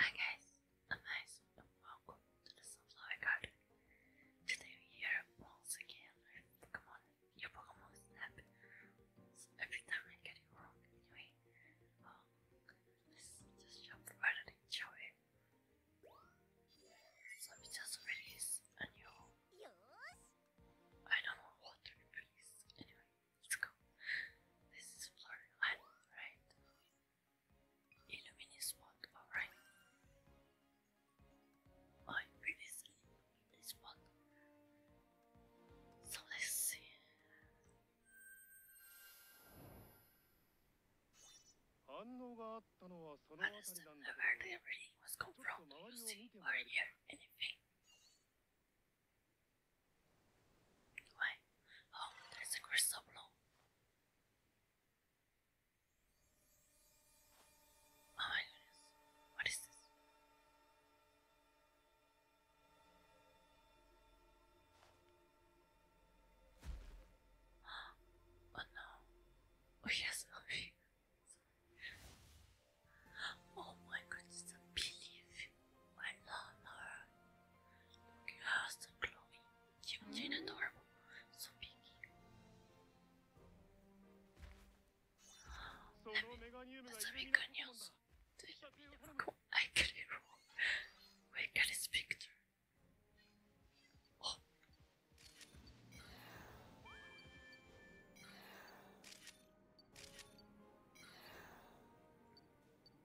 Hi guys, I'm nice and welcome to the Sunflower Garden. Today we're once again with Pokemon, your Pokemon Snap. So every time I get it wrong, anyway, um, let's just jump right and it. So we just released a new. I don't know what to release, Let's go. This is floor one, right? Illuminate spot, alright. I previously this spot. So let's see. I just where the reading was come from. Do you see or hear anything? Why? Oh, that's a crystal blow. Oh my goodness. What is this? Oh no. Oh yes, oh yes. Oh my goodness, a believe I love her. Look at her, said Chloe. Cute and adorable, so picky. Let me, that's very good news. I could be wrong. Where can not speak to?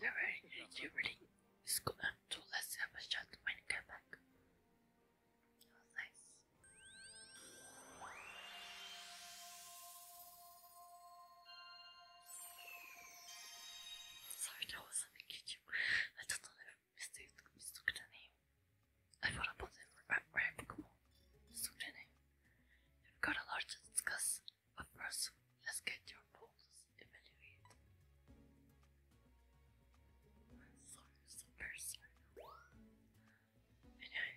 Alright, you really. It's good. I'm too lazy to have a shot when I get back. It Sorry, that was something YouTube. I don't know if mistake mistook the name. I thought about it where I Pokemon. Mistook the name. You've got a lot to discuss, but first, let's get your polls evaluated. Florence person. I know.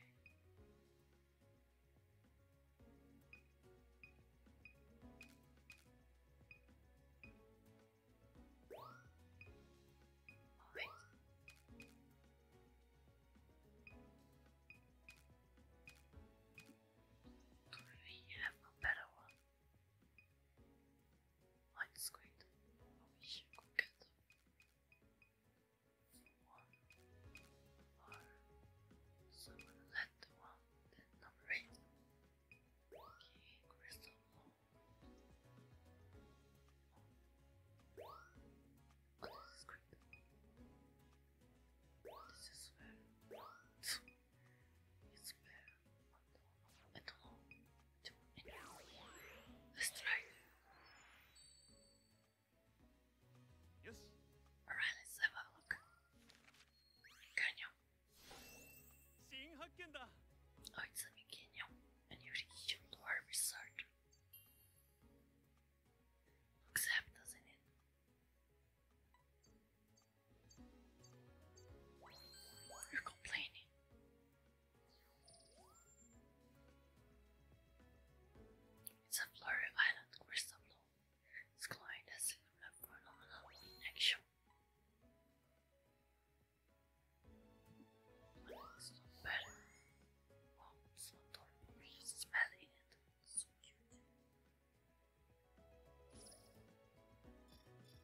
Alright. Do we have a better one? light squid. I wish you get them. One Okay, crystal ball. What is this This is very it's very but hold to an Yes. Alright, let's have a look. Canyon. Oh, it's a new canyon. A new region to our resort. Looks up, doesn't it? You're complaining. It's a Florida Island crystal ball. It's claimed as a phenomenal in action. But oh, it's not not horrible. It's smelly so cute. Okay,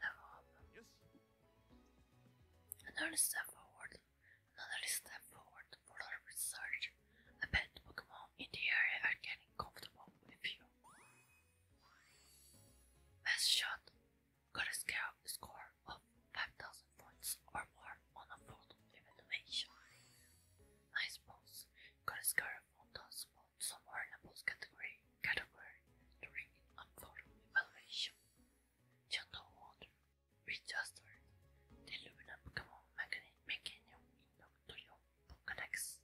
level up. Yes. Another step forward. Another step forward for our research. A pet Pokemon in the area are getting comfortable with you. Best shot. Got a scale score of 5000 points or more on a photo evaluation. I suppose Coruscant does fall somewhere in a post category category during unfolding evaluation. Gentle water, the aluminum Pokemon magnet mechanium into your Pokedex.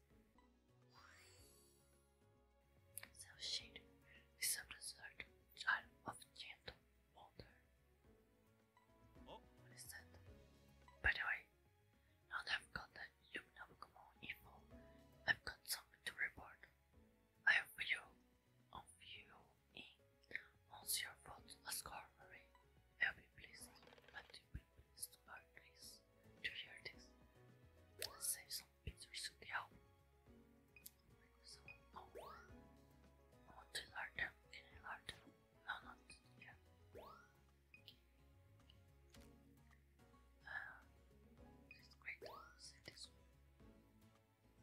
Self shade is a result of gentle Oh. What is that? By the way, now that I've got the Lumina Pokemon info, I've got something to report. I have video on view in once your vote was corroborated. I'll be pleased, but you will be pleased or pleased to hear this. save some pictures to the album. So, oh, no. want to learn Can I learn No, not yet. Uh, it's quite this one. So cute.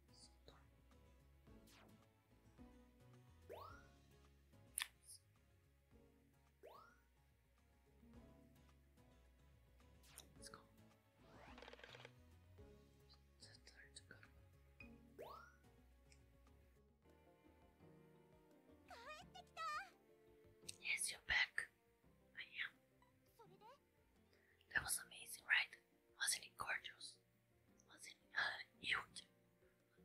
Let's go. That's a good one. Yes, you're back. I am. That was amazing, right? Wasn't it gorgeous? Was it a huge?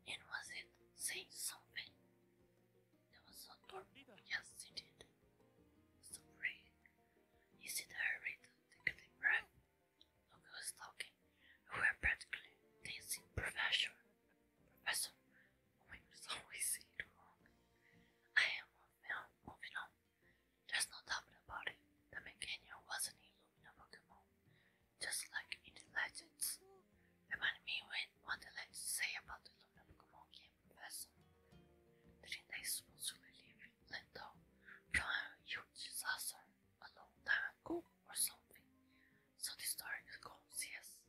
And was it saying something? There was a torpedo. Yes, it did. So brave. Is it hurried? Take a deep breath. Look who's talking. We were practically dancing professor. Professor, we oh always say it wrong. I am moving on, moving on. There's no doubt about it, the Meganium was an Illumina Pokemon, just like in the legends. Remind me when what the legends say about the Illumina Pokemon game, Professor. did they supposed to relieve Lento from a huge disaster a long time ago or something? So the story goes, yes.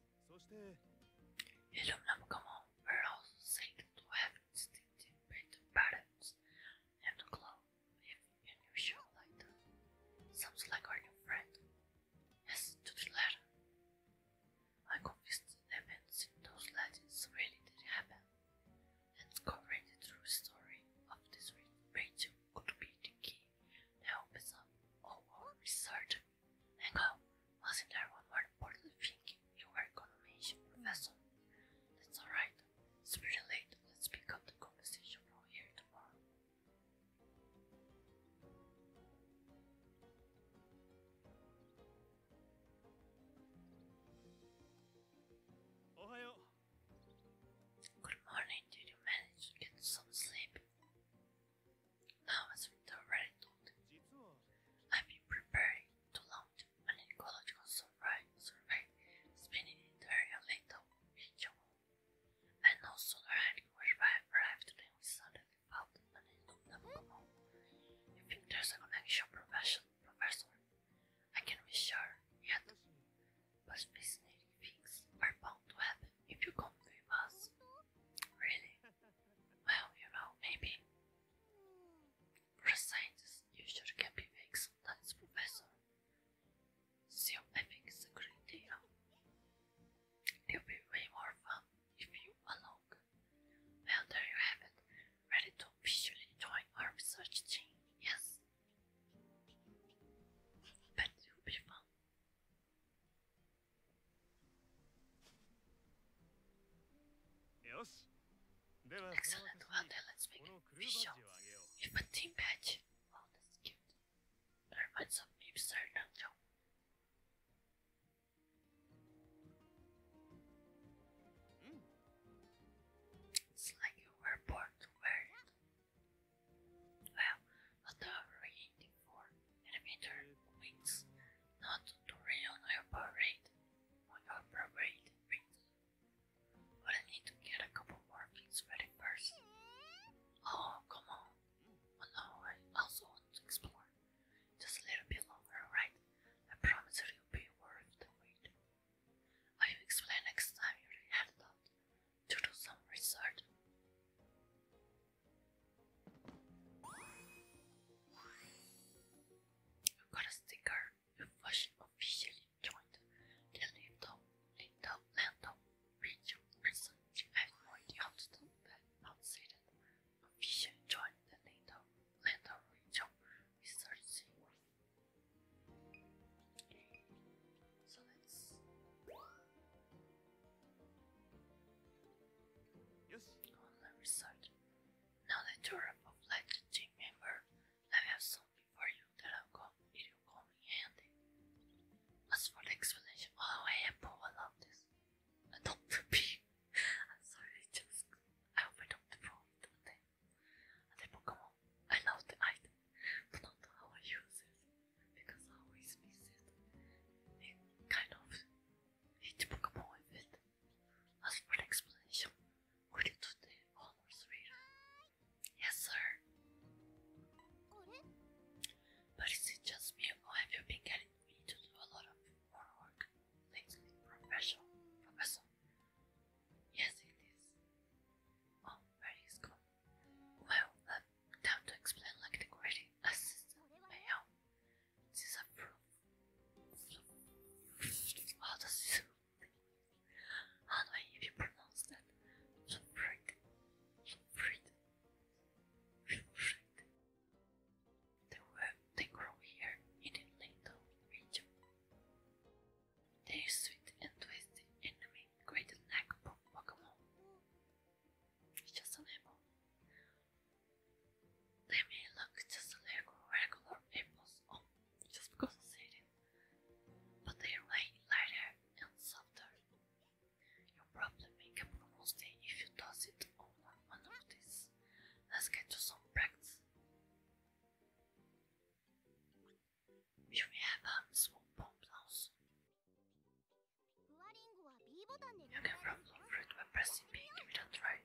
Illumina Pokemon were also said to have distinct patterns and glow if unusual like that. Sounds like our new friend. Yes, to the letter. I confessed the events in those legends really did happen, and the true story of this region could be the key that opens up all oh, our oh, research. Hang on, wasn't there one more important thing you were gonna mention, Professor? That's alright, it's pretty late, let's pick up the conversation from here tomorrow. Ohio. Good morning, did you manage to get some sleep? Now as already told, have been preparing to launch an ecological survey, survey spanning the entire Lato And no sooner had Kurzweil arrived than we suddenly felt an indomitable command. You think there's a connection, profession, Professor? I can be sure yet, but fascinating things are bound to happen if you come with us. Really? Well, you know, maybe. For a scientist, you sure can be vague science professor. So I think it's a great deal. It'll be way more fun if you along. Well, there you have it. Ready to officially join our research team, yes? Bet it fun. Yes? Excellent, well then let's make a show. If a team badge. Oh, that's cute. That reminds of me, Mr. It's like you were born Well, not the rating for animator wings, not to rain on your parade, on your wings. But I need to get a couple more things ready first. Oh, come on. Oh no, I also want to explore. Just a little bit longer, alright? I promise it'll be worth the wait. I will explain next time you're headed to do some research. You got a sticker. You officially joined Disney Tom in the research and Lloyd Houston that outsided official joined the NATO London research So let's Yes. On the result. Now that you're a member, I have something for you that will come, it will come in handy. As for the explanation, oh, I am poor, I love this. I don't repeat. I'm sorry, just I hope I don't default on the, on I love the item, but not how I use it, because I always miss it. It kind of hit Pokemon with it. As for the explanation, would you do the honors, Rita? Yes, sir. But is it just me, or have you been getting me to do a lot of more lately, Professor? Professor? Yes, it is. Oh, where is gone? Well, uh, time to explain like the grading assistant may help. This is a proof. How does this how do I pronounce that? Fufrid. Fufrid. Fufrid. They, were, they grow here in the Lindon region. They are sweet and twisty enemy great neck Pokemon. just a lemon. They may look just like regular apples on oh, just because I said it, but they are lighter and softer. You'll probably make a if you toss it on one of these. Let's get to some practice. Here we have a um, small bomb You can probably fruit by pressing pink with a tray.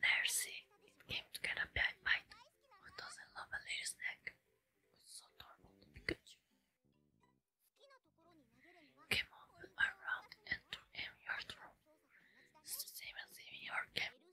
Nercy, it came to get a bite. Who doesn't love a little snack? It's so normal to Pikachu. Come on, and throw your throw. It's the same as aiming your game.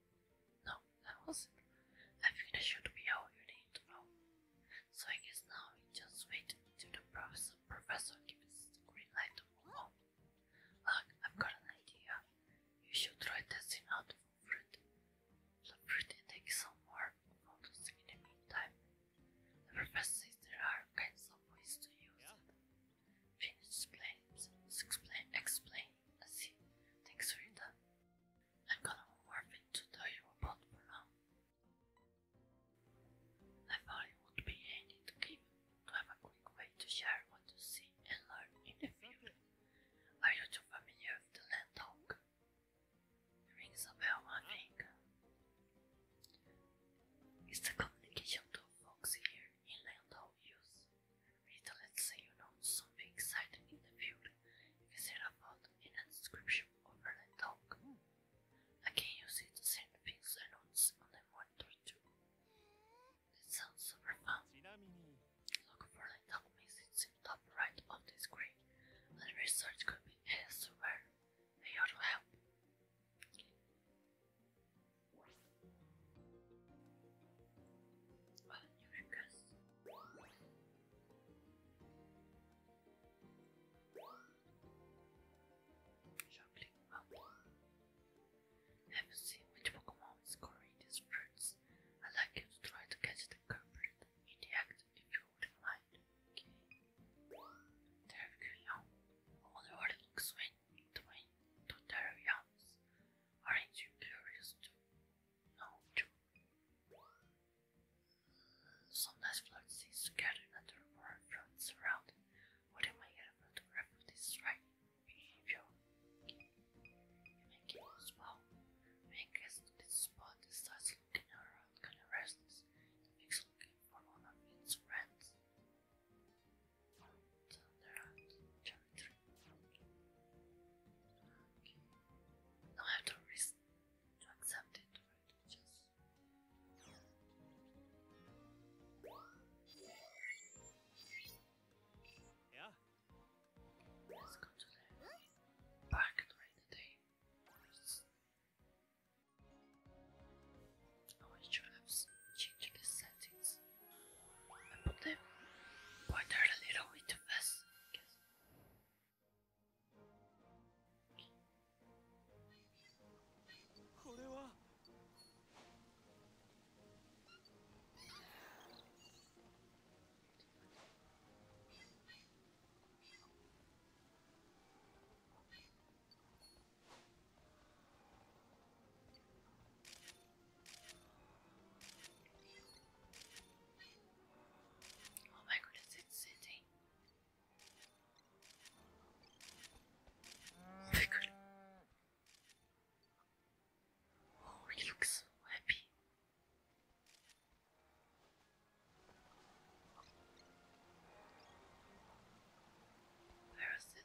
No, that wasn't. I think that should be all you need to know. So I guess now we just wait till the professor, professor gives the green light to Look, I've got an idea. You should try testing out the fruit. The fruit and take some more photos in the meantime. The professor says there are kinds of ways to use yeah. it. Finish explains, explain, explain, Let's see. Thanks for your time. I'm gonna warp it to tell you about Brown. I thought it would be handy to have a quick way to share what you see and learn in the field. Are you too familiar with the land talk? It rings a I think. It's the communication tool folks here in Landau use. It lets you know something exciting in the field. You can a bot in a description over the dog. I can use it to send things and notes on the monitor too. It sounds super fun. Look for the dog message in top right of the screen. And research could be elsewhere. They ought to help. Haven't seen which Pokemon is growing these fruits. I'd like you to try to catch the culprit in the act if you wouldn't mind. Okay. Terrarium. All the world looks when twin to terrariums. Aren't you curious too? out. Sometimes floods is scattered and the river floats around. What am I get to photograph of this right behavior? You may get as well. You may this spot that starts looking around kind of restless and makes looking for one of its friends. Thunder Okay. I have to risk to accept it, Just back during the day. I should have the settings. I put the water a little bit fast, I guess. Oh my goodness, it's sitting. Oh, oh he looks so happy. Where is it?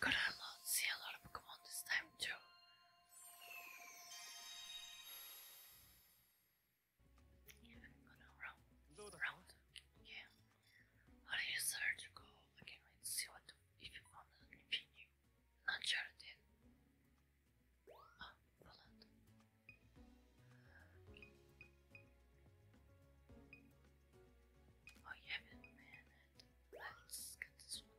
Good, I will see a lot of Pokemon this time too. gonna Yeah. How do you search? Go again. Let's see what if you found anything new. Not sure Oh yeah, man, let's get this one.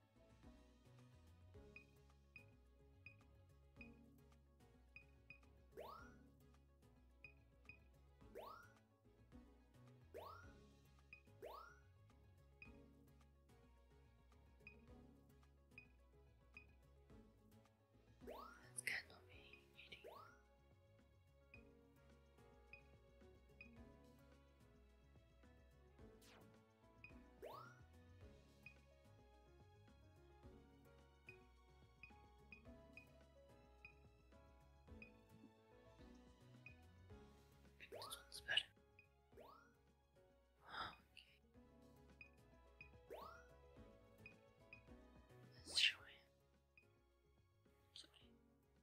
That's kind of eating. This one's better. Oh, okay. Let's show him. Sorry.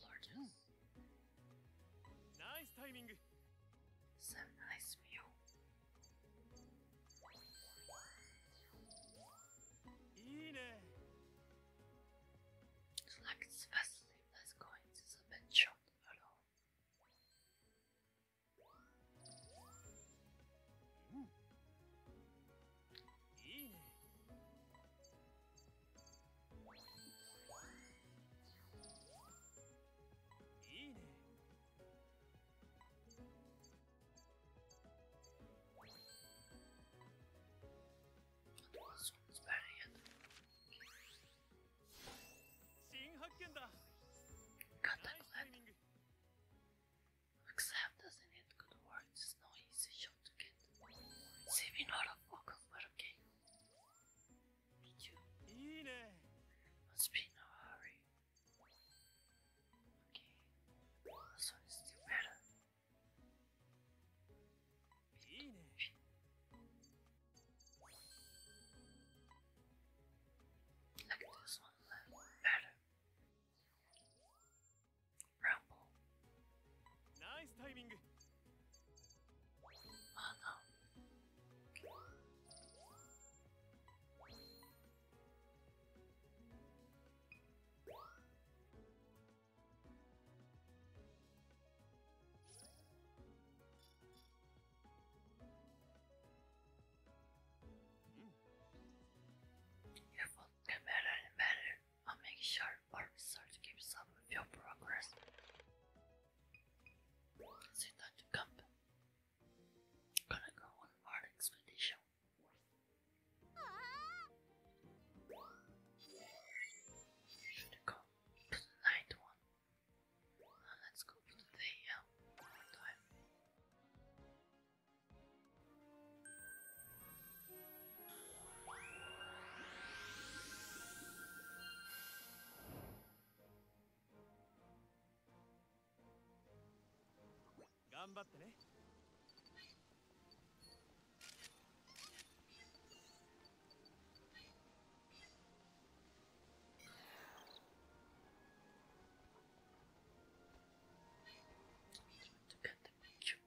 Lardo. Nice timing. So nice view. It's like it's Vasily that's going to the bench shop alone. Hmm. いいねいいね新発見だ簡単だ Except doesn't need good words, it's no easy shot to get. Saving out of focus, but okay. Did you? Must be in a hurry. Okay, this one is still better. Like this one, better. Rumble. Nice timing. Oh no. you better and better i and make sure our research keeps up with your progress. Sit down to camp. Gonna go on our expedition. Should go to the night one. let's go to the day uh, 頑張ってね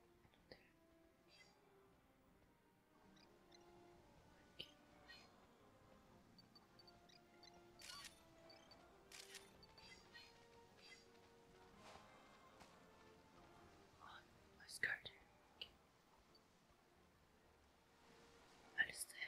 On, let's go there. Okay. Alistair.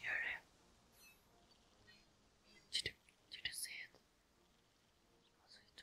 Hear him. Did you, did you see it? Was it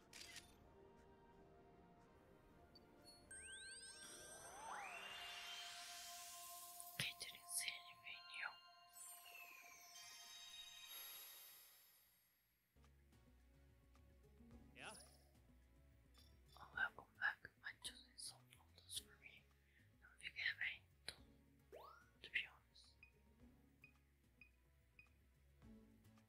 I didn't see anything Yeah? Oh, welcome back. I just need some photos for me. Don't think I have any be honest.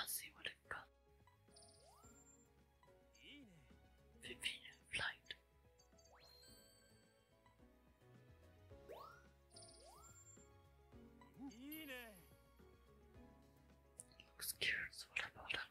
I'll see what i got. Vivian flight. Looks curious, what about her?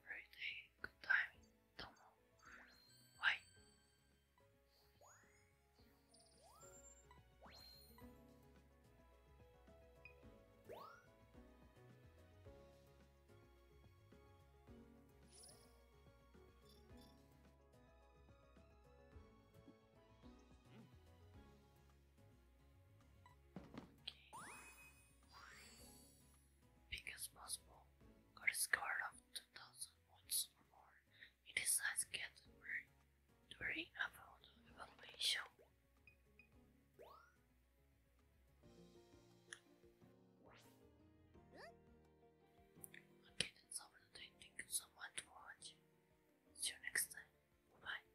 everyday good time don't know why Okay. Because possible, got a score of 2000 points or more. It is size category during a round evaluation. Okay, that's all for today. Thank you so much for watching. See you next time. Bye.